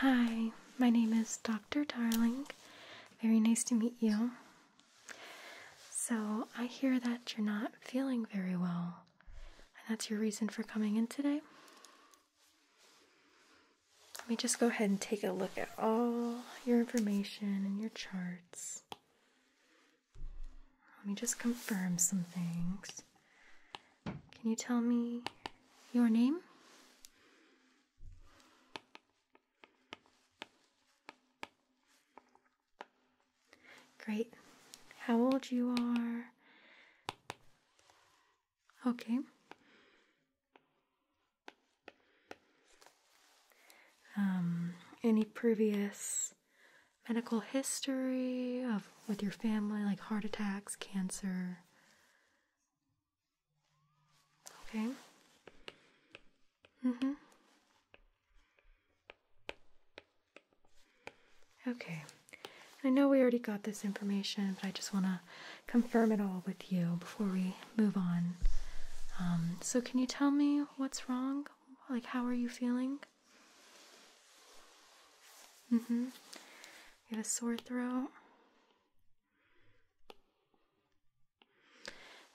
Hi, my name is Dr. Darling. Very nice to meet you. So, I hear that you're not feeling very well, and that's your reason for coming in today. Let me just go ahead and take a look at all your information and your charts. Let me just confirm some things. Can you tell me your name? Great. How old you are? Okay. Um, any previous medical history of with your family, like heart attacks, cancer, Okay. Mm hmm. Okay. I know we already got this information, but I just want to confirm it all with you before we move on. Um, so, can you tell me what's wrong? Like, how are you feeling? Mm hmm. Get a sore throat.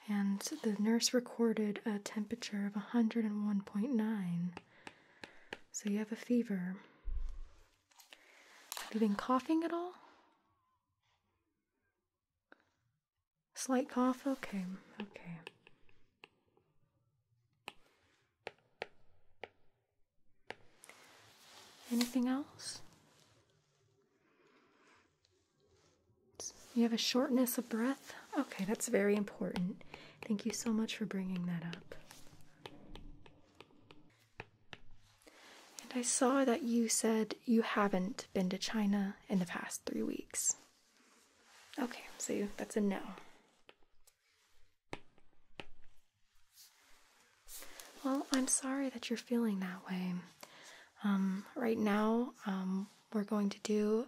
And the nurse recorded a temperature of 101.9. So you have a fever. Have you been coughing at all? Slight cough? Okay, okay. Anything else? You have a shortness of breath? Okay, that's very important. Thank you so much for bringing that up. And I saw that you said you haven't been to China in the past three weeks. Okay, so that's a no. Well, I'm sorry that you're feeling that way. Um, right now, um, we're going to do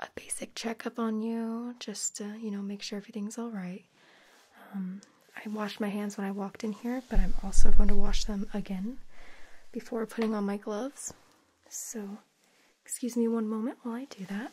a basic checkup on you, just to, you know, make sure everything's all right. Um, I washed my hands when I walked in here, but I'm also going to wash them again before putting on my gloves. So, excuse me one moment while I do that.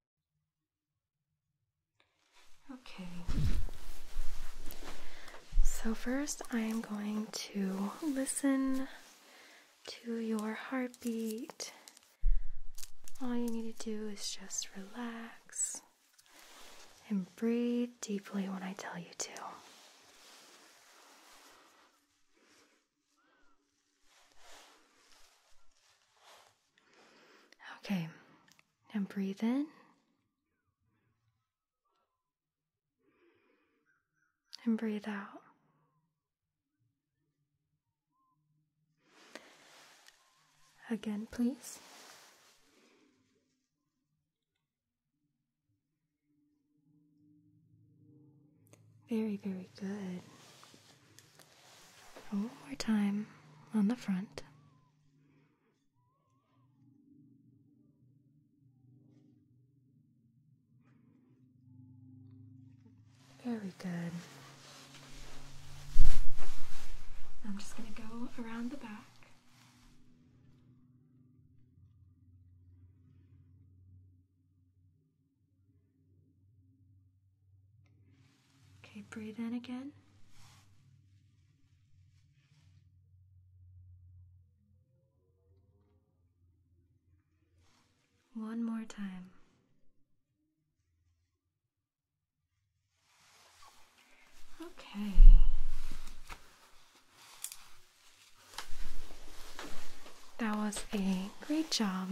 Okay. So, first, I am going to listen to your heartbeat. All you need to do is just relax and breathe deeply when I tell you to. Okay, And breathe in and breathe out. Again, please. Very, very good. one more time on the front. Very good. I'm just going to go around the back. Okay, breathe in again. One more time. Okay. That was a great job.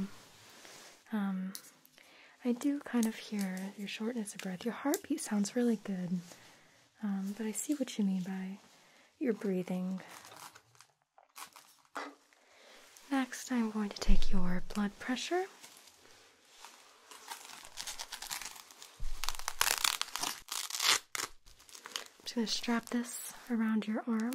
Um, I do kind of hear your shortness of breath. Your heartbeat sounds really good, um, but I see what you mean by your breathing. Next, I'm going to take your blood pressure. I'm just going to strap this around your arm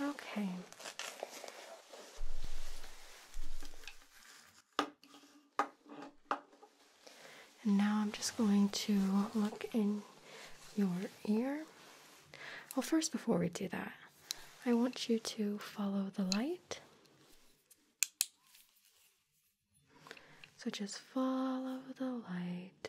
Okay. And now I'm just going to look in your ear. Well, first, before we do that, I want you to follow the light. So just follow the light.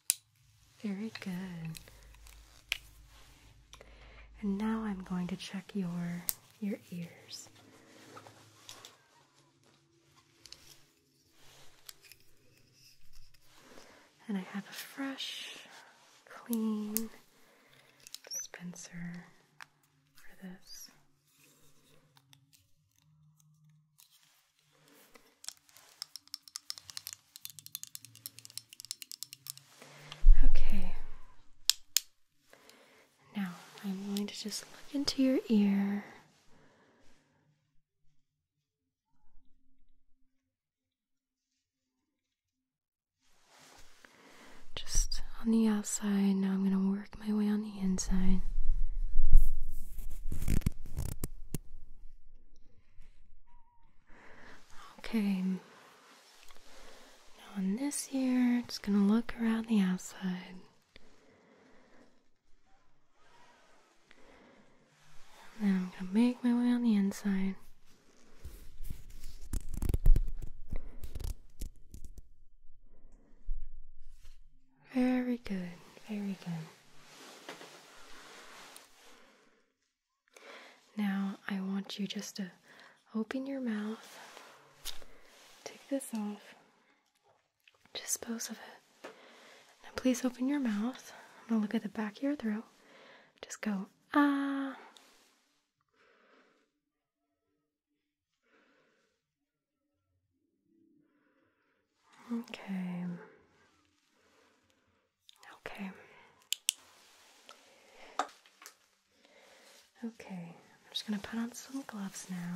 Very good. And now I'm going to check your your ears. And I have a fresh, clean dispenser for this. Okay. Now I'm going to just look into your ear. Just on the outside. Now I'm going to work my way on the inside. Okay. Now on this ear, just gonna look around the outside. then I'm gonna make my way on the inside. Very good, very good. Now I want you just to open your mouth, take this off, dispose of it. Now please open your mouth. I'm gonna look at the back of your throat. Just go ah. Okay. Okay. Okay, I'm just going to put on some gloves now.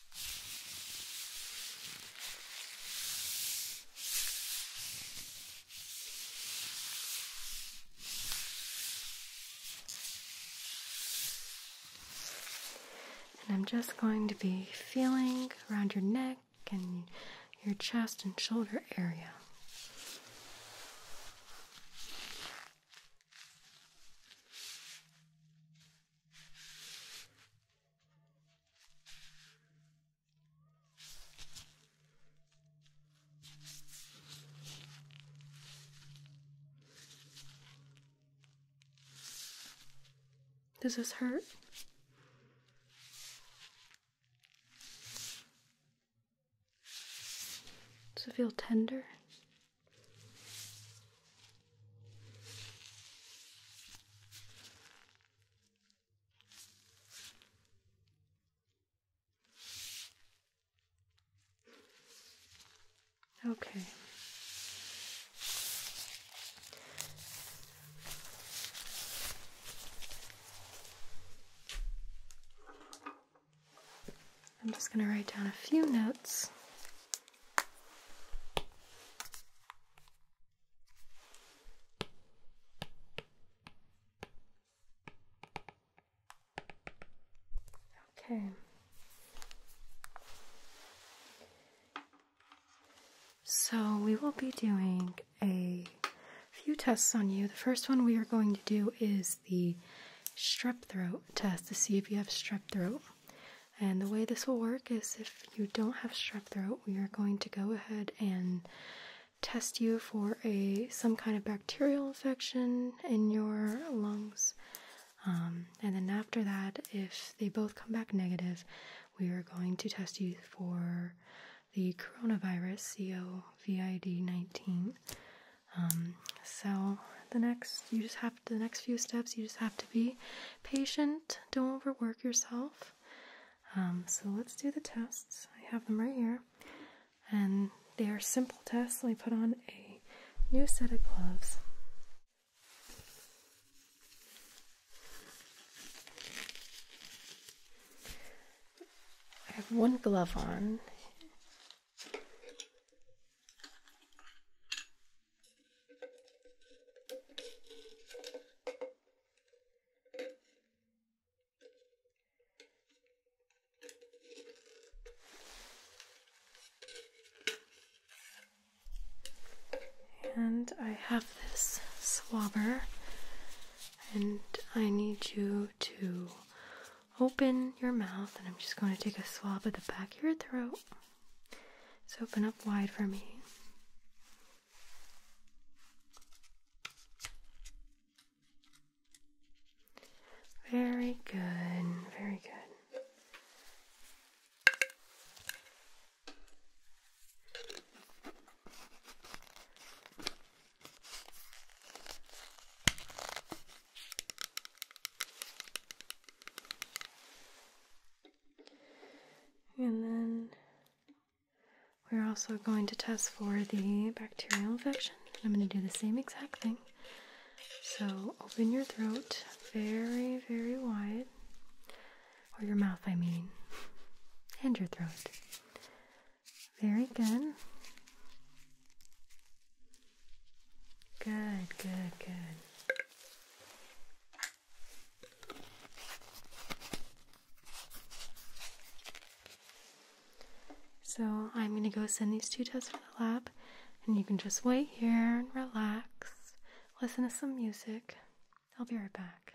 And I'm just going to be feeling around your neck and your chest and shoulder area. Does this hurt? Does it feel tender? Okay. I'm just going to write down a few notes. Okay. So we will be doing a few tests on you. The first one we are going to do is the strep throat test to see if you have strep throat. And the way this will work is if you don't have strep throat, we are going to go ahead and test you for a some kind of bacterial infection in your lungs. Um, and then after that, if they both come back negative, we are going to test you for the coronavirus COVID-19. Um, so the next, you just have the next few steps. You just have to be patient don't overwork yourself. Um, so let's do the tests. I have them right here. And they are simple tests. Let me put on a new set of gloves. I have one glove on. And I have this swabber, and I need you to open your mouth, and I'm just going to take a swab at the back of your throat. So open up wide for me. Very good, very good. And then we're also going to test for the bacterial infection. I'm going to do the same exact thing. So open your throat very, very wide, or your mouth, I mean, and your throat. Very good. Good, good, good. So I'm gonna go send these two tests for the lab, and you can just wait here and relax, listen to some music. I'll be right back.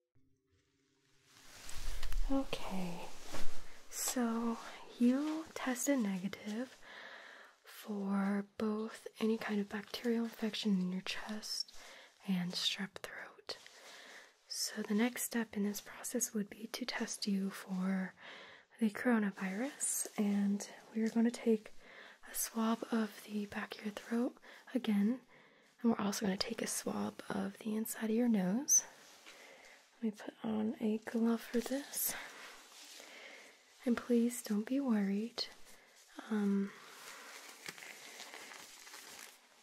Okay, so you tested negative for both any kind of bacterial infection in your chest and strep throat. So, the next step in this process would be to test you for the coronavirus, and we are going to take a swab of the back of your throat again and we're also going to take a swab of the inside of your nose. Let me put on a glove for this. And please don't be worried. Um,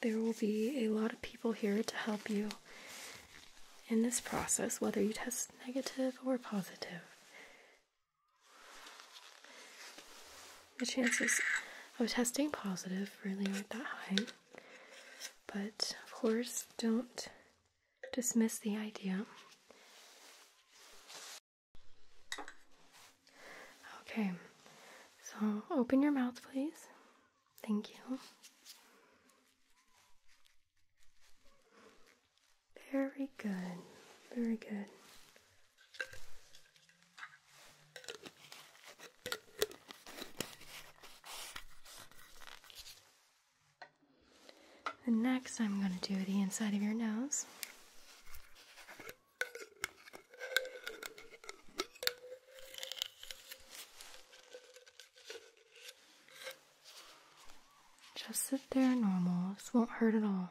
there will be a lot of people here to help you in this process, whether you test negative or positive the chances of testing positive really aren't that high. But of course, don't dismiss the idea. Okay, so open your mouth, please. Thank you. Very good, very good next, I'm going to do the inside of your nose. Just sit there normal. This won't hurt at all.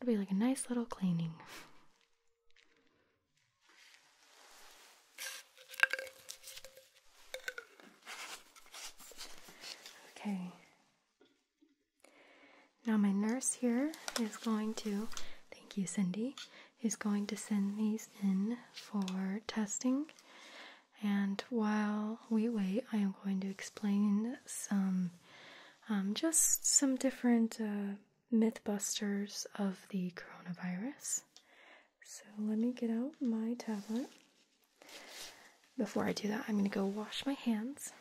It'll be like a nice little cleaning. Okay. Now my nurse here is going to, thank you Cindy, is going to send these in for testing. And while we wait, I am going to explain some, um, just some different uh, mythbusters of the coronavirus. So let me get out my tablet. Before I do that, I'm going to go wash my hands.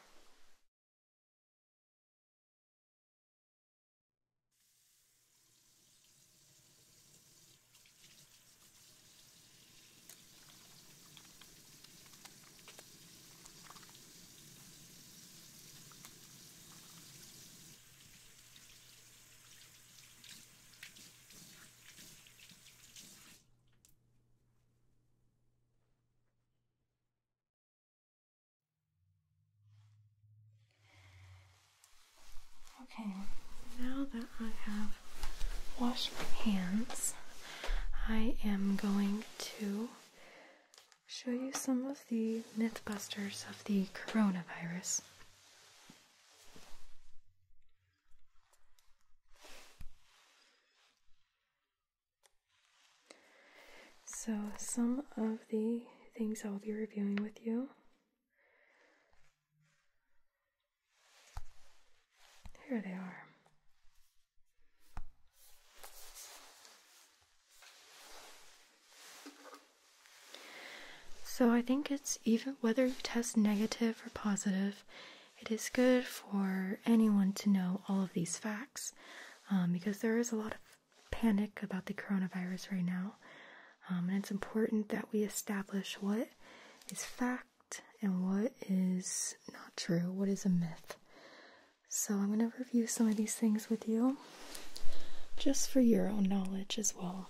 Okay, now that I have washed my hands, I am going to show you some of the mythbusters of the coronavirus. So, some of the things I'll be reviewing with you. Here they are. So I think it's even whether you test negative or positive, it is good for anyone to know all of these facts um, because there is a lot of panic about the coronavirus right now. Um, and it's important that we establish what is fact and what is not true, what is a myth. So I'm going to review some of these things with you just for your own knowledge as well.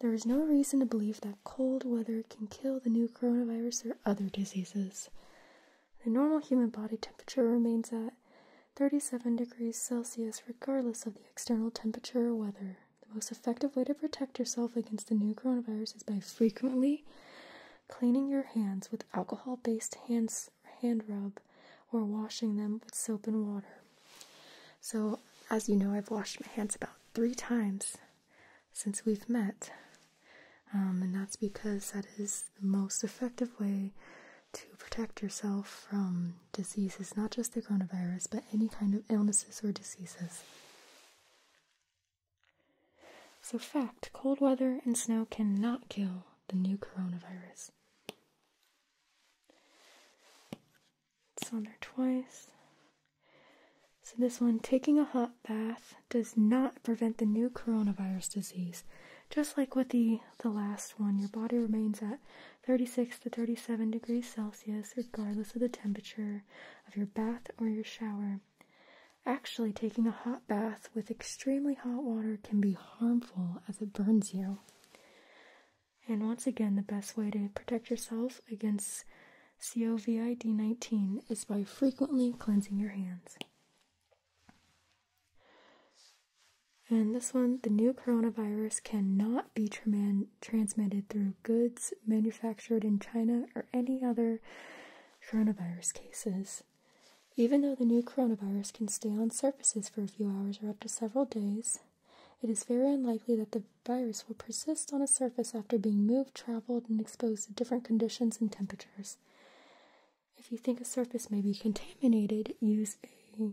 There is no reason to believe that cold weather can kill the new coronavirus or other diseases. The normal human body temperature remains at 37 degrees Celsius regardless of the external temperature or weather. The most effective way to protect yourself against the new coronavirus is by frequently Cleaning your hands with alcohol based hands, hand rub or washing them with soap and water. So, as you know, I've washed my hands about three times since we've met. Um, and that's because that is the most effective way to protect yourself from diseases, not just the coronavirus, but any kind of illnesses or diseases. So, fact cold weather and snow cannot kill the new coronavirus. It's on there twice. So, this one taking a hot bath does not prevent the new coronavirus disease. Just like with the, the last one, your body remains at 36 to 37 degrees Celsius regardless of the temperature of your bath or your shower. Actually, taking a hot bath with extremely hot water can be harmful as it burns you. And once again, the best way to protect yourself against COVID 19 is by frequently cleansing your hands. And this one, the new coronavirus cannot be transmitted through goods manufactured in China or any other coronavirus cases. Even though the new coronavirus can stay on surfaces for a few hours or up to several days, it is very unlikely that the virus will persist on a surface after being moved, traveled, and exposed to different conditions and temperatures. If you think a surface may be contaminated, use a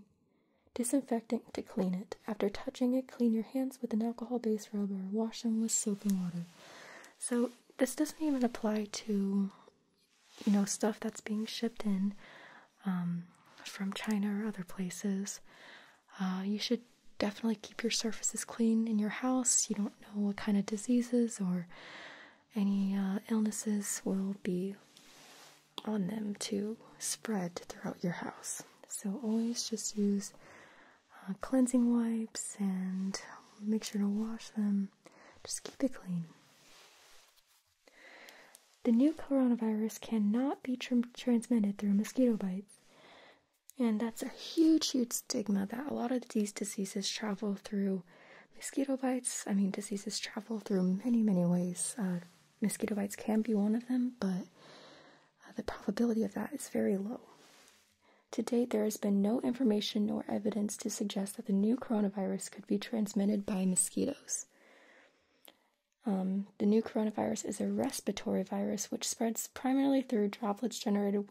disinfectant to clean it. After touching it, clean your hands with an alcohol based rub or wash them with soap and water. So, this doesn't even apply to you know stuff that's being shipped in um, from China or other places. Uh, you should definitely keep your surfaces clean in your house. You don't know what kind of diseases or any uh, illnesses will be on them to spread throughout your house. So always just use uh, cleansing wipes and make sure to wash them. Just keep it clean. The new coronavirus cannot be transmitted through mosquito bites. And that's a huge, huge stigma that a lot of these diseases travel through mosquito bites. I mean, diseases travel through many, many ways. Uh, mosquito bites can be one of them, but uh, the probability of that is very low. To date, there has been no information nor evidence to suggest that the new coronavirus could be transmitted by mosquitoes. Um, the new coronavirus is a respiratory virus which spreads primarily through droplets generated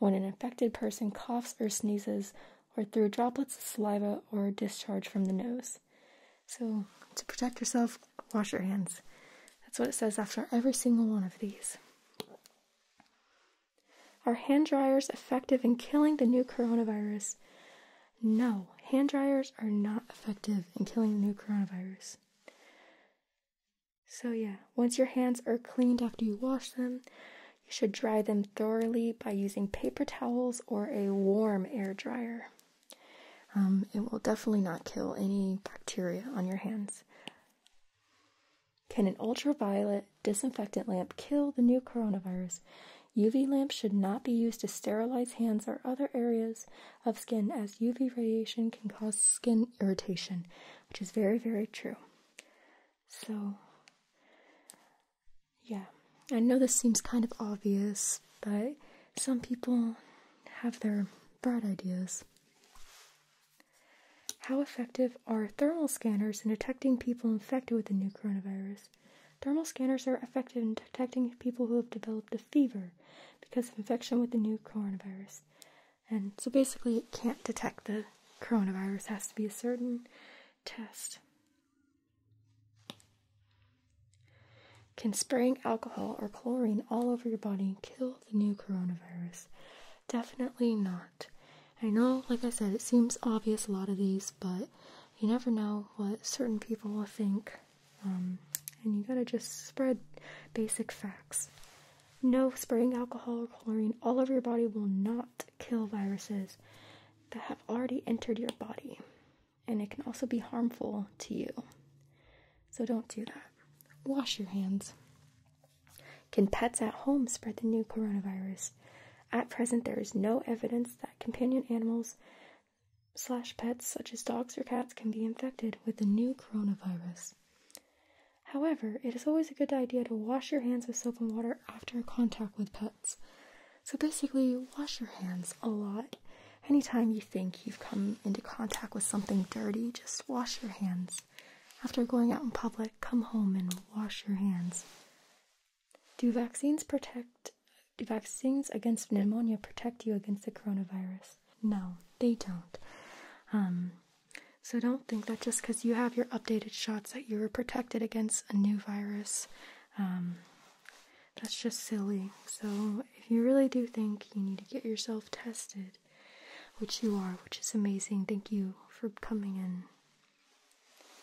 when an infected person coughs or sneezes, or through droplets of saliva or discharge from the nose. So, to protect yourself, wash your hands. That's what it says after every single one of these. Are hand dryers effective in killing the new coronavirus? No, hand dryers are not effective in killing the new coronavirus. So, yeah, once your hands are cleaned after you wash them, you should dry them thoroughly by using paper towels or a warm air dryer. Um, it will definitely not kill any bacteria on your hands. Can an ultraviolet disinfectant lamp kill the new coronavirus? UV lamps should not be used to sterilize hands or other areas of skin as UV radiation can cause skin irritation, which is very, very true. So, yeah, I know this seems kind of obvious, but some people have their bright ideas. How effective are thermal scanners in detecting people infected with the new coronavirus? Thermal scanners are effective in detecting people who have developed a fever because of infection with the new coronavirus. And so basically, it can't detect the coronavirus, has to be a certain test. Can spraying alcohol or chlorine all over your body kill the new coronavirus? Definitely not. I know, like I said, it seems obvious a lot of these, but you never know what certain people will think. Um, and you gotta just spread basic facts. No, spraying alcohol or chlorine all over your body will not kill viruses that have already entered your body. And it can also be harmful to you. So don't do that. Wash your hands. Can pets at home spread the new coronavirus? At present, there is no evidence that companion animals slash pets such as dogs or cats can be infected with the new coronavirus. However, it is always a good idea to wash your hands with soap and water after contact with pets. So basically, wash your hands a lot. Anytime you think you've come into contact with something dirty, just wash your hands. After going out in public, come home and wash your hands. Do vaccines protect do vaccines against pneumonia protect you against the coronavirus? No, they don't. Um, so don't think that just because you have your updated shots that you're protected against a new virus. Um, that's just silly. So if you really do think you need to get yourself tested, which you are, which is amazing. Thank you for coming in.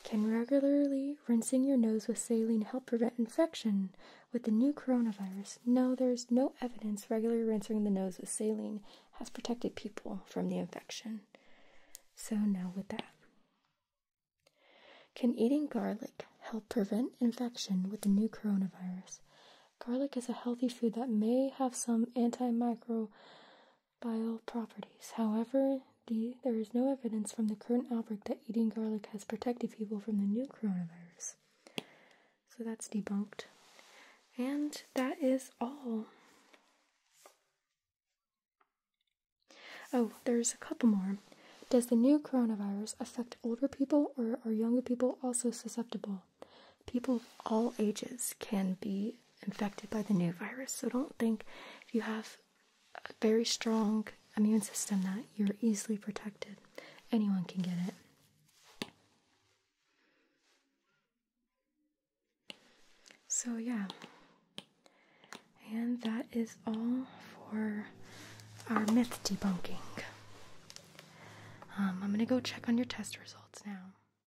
Can regularly rinsing your nose with saline help prevent infection with the new coronavirus? No, there is no evidence regularly rinsing the nose with saline has protected people from the infection. So, now with that. Can eating garlic help prevent infection with the new coronavirus? Garlic is a healthy food that may have some antimicrobial properties. However, there is no evidence from the current outbreak that eating garlic has protected people from the new coronavirus. So that's debunked. And that is all. Oh, there's a couple more. Does the new coronavirus affect older people or are younger people also susceptible? people of all ages can be infected by the new virus. So don't think you have a very strong immune system that you're easily protected. Anyone can get it. So, yeah, and that is all for our myth debunking. Um, I'm gonna go check on your test results now.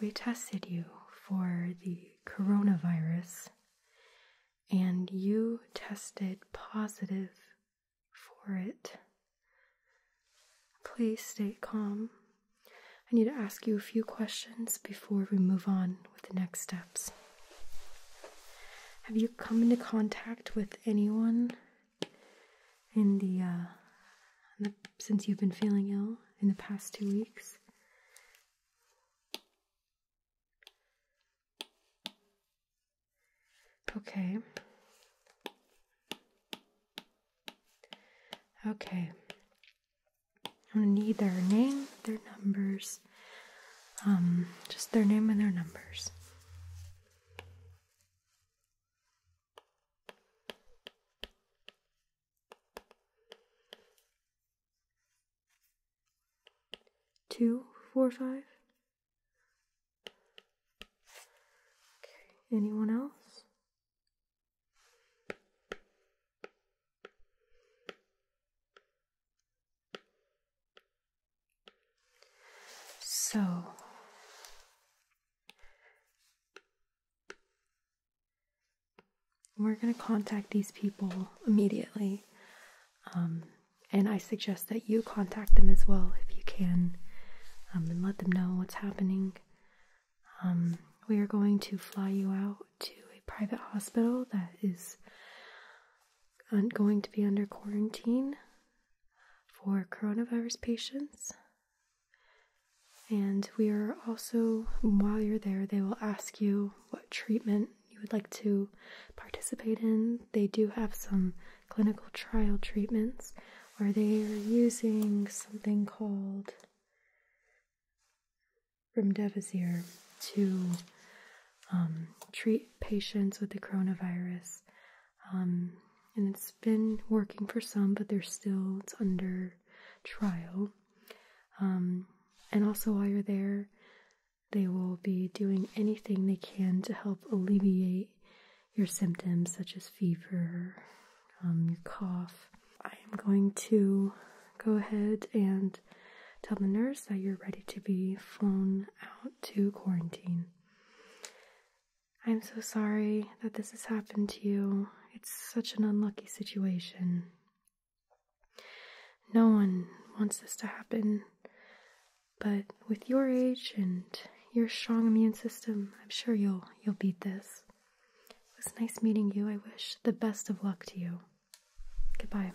we tested you for the coronavirus and you tested positive for it. Please stay calm. I need to ask you a few questions before we move on with the next steps. Have you come into contact with anyone uh, in the, since you've been feeling ill in the past two weeks. Okay. Okay. I'm gonna need their name, their numbers, um, just their name and their numbers. Two, four, five. anyone else? So, we're going to contact these people immediately. Um, and I suggest that you contact them as well if you can um, and let them know what's happening. Um, we are going to fly you out to a private hospital that is going to be under quarantine for coronavirus patients. And we are also, while you're there, they will ask you what treatment you would like to participate in. They do have some clinical trial treatments where they are using something called remdesivir to um, treat patients with the coronavirus. Um, and it's been working for some, but they're still it's under trial. Um, and also, while you're there, they will be doing anything they can to help alleviate your symptoms, such as fever, um, your cough. I am going to go ahead and tell the nurse that you're ready to be flown out to quarantine. I'm so sorry that this has happened to you. It's such an unlucky situation. No one wants this to happen. But with your age and your strong immune system, I'm sure you'll you'll beat this. It was nice meeting you. I wish the best of luck to you. Goodbye.